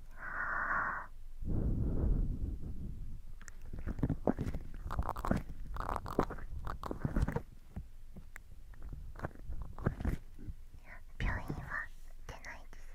病院は出ないです。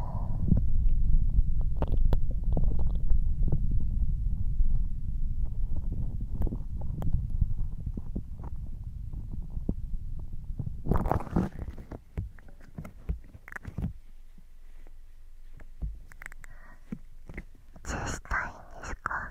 チェスタいんですか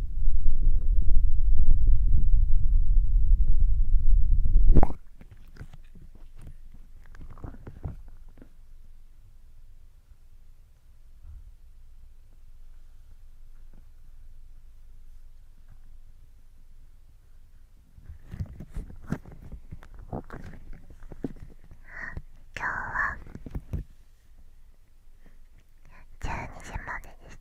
今日は12時までです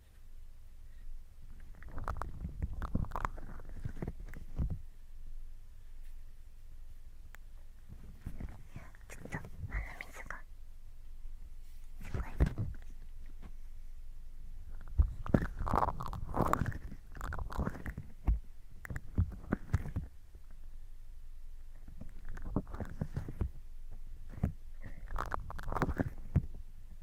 ちょっと鼻水がすごい。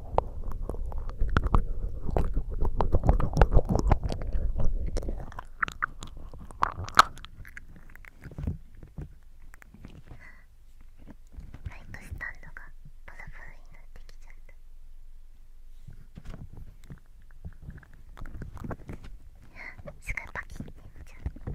マイクスタンドがパラパラになってきちゃったすごいパキッてなっちゃう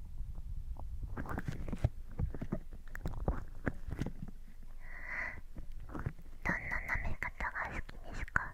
どんなめ方が好きですか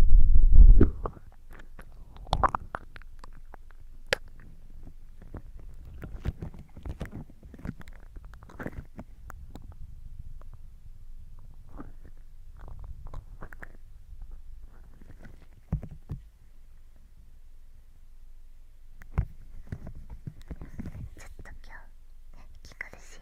ちょっと今日、ね、気苦しい。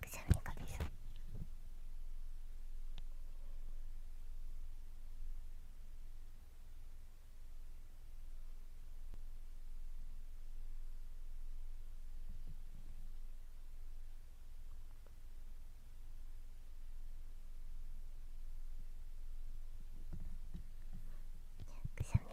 くしゃみが出そう。くしゃみが。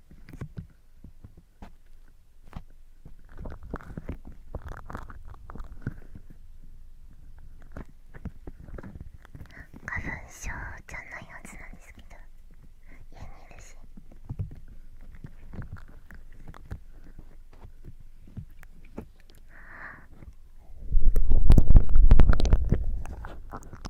花粉症じゃないはずなんですけど家にいるしあ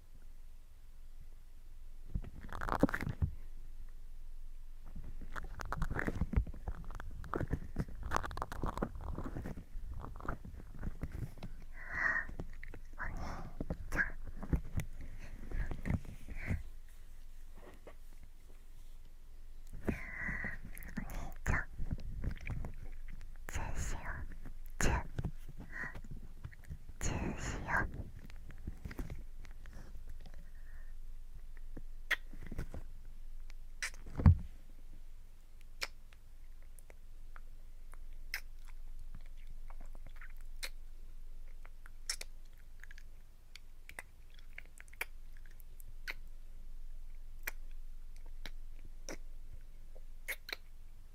ちゃんお兄ちゃんチューしよューチューチューしよう。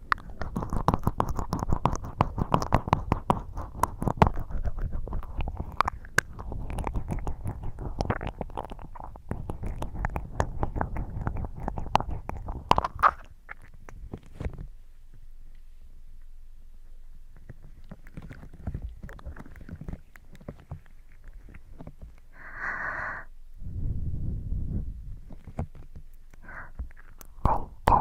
東京。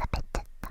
食べちゃった。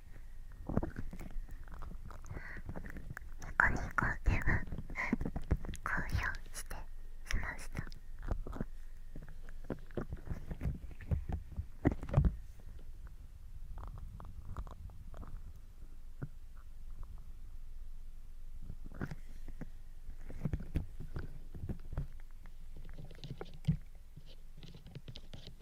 ニコニコでは公表してしました「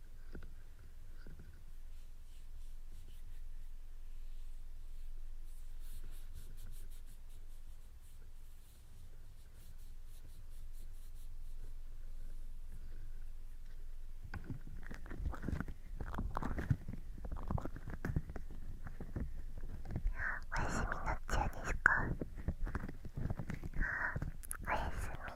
お休みのっちゃですかおやすみ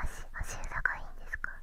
足足裏がいいんですかあ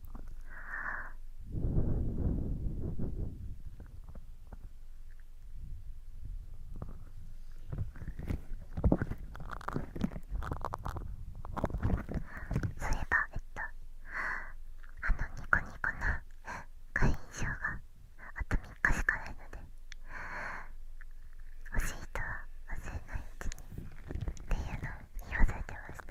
そういえばえっとあのニコニコの会員証があと3日しかないので欲しい人は忘れないうちにっていうのを言わせてました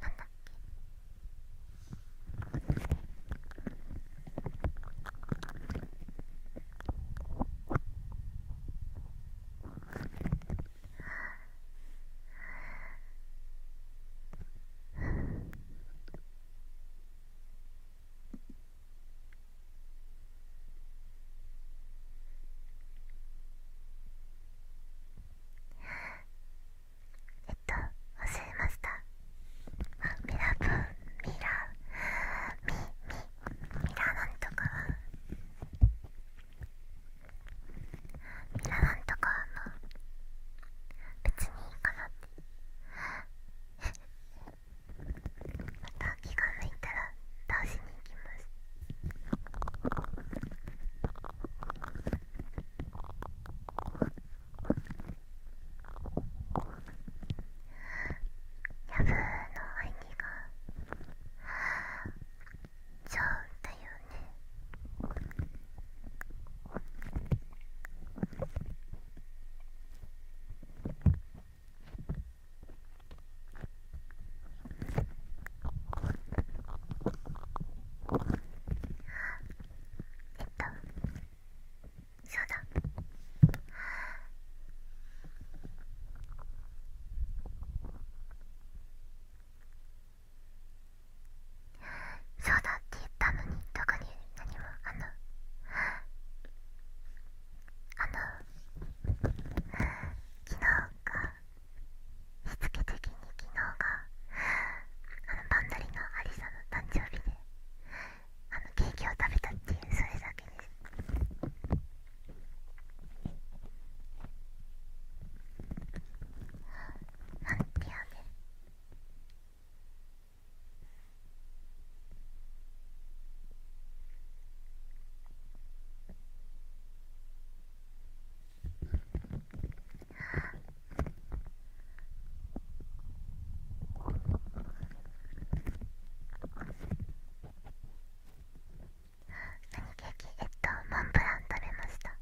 なんだっけえっと忘れましたミラブミラミミミラなんとかはミラなんとかはもう別にいいかなってまた気が向いたら倒しに行きますャブの兄がちゃうだよねえっとそうだそうだって言ったのに特に何もあのあの昨日かしつけ的に昨日があのバンドリのアリサの誕生日であのケーキを食べたっていうそれだけですなんて雨ああケーキえっとモンブラン食べました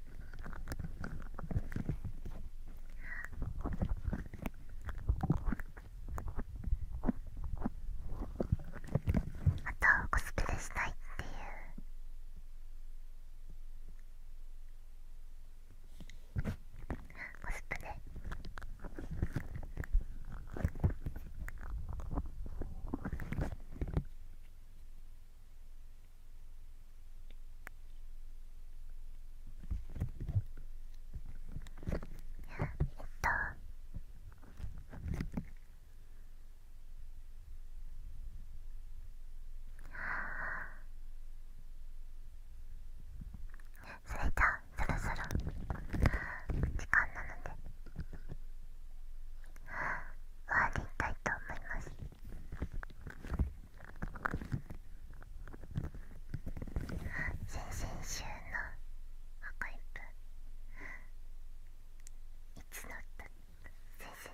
あとコスプレしたいっていうコスプレあえっとそれじゃあそろそろ時間なので終わりたいと思います。先々週の赤い分いつの先々週ってどうしたの。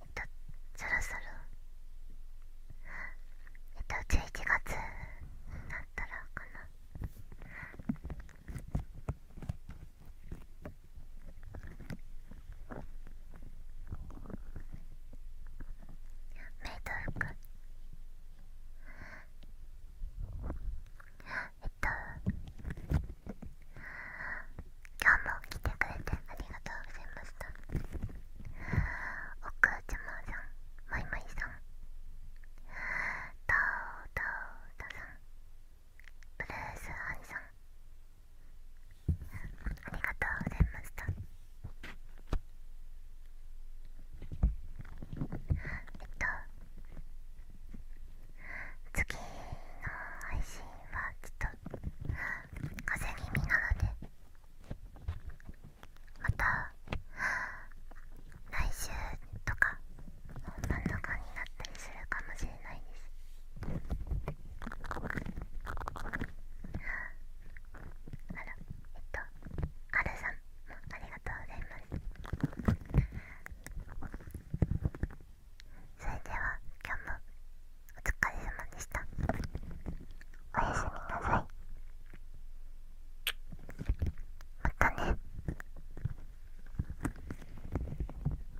えっとそろそろえっと11月になったらかなメイド服えっと今日も来てくれてありがとうございましたお母ちゃまさんマいマいさんタオタオタさんブルースアミさんありがとうございましたえっと次の配信はちょっと風邪気味なのでまた来週とか本番とかになったりするかもしれす。えっと、はるさんありがとうございます。それでは、今日もお疲れ様でした。おやすみなさい。またね。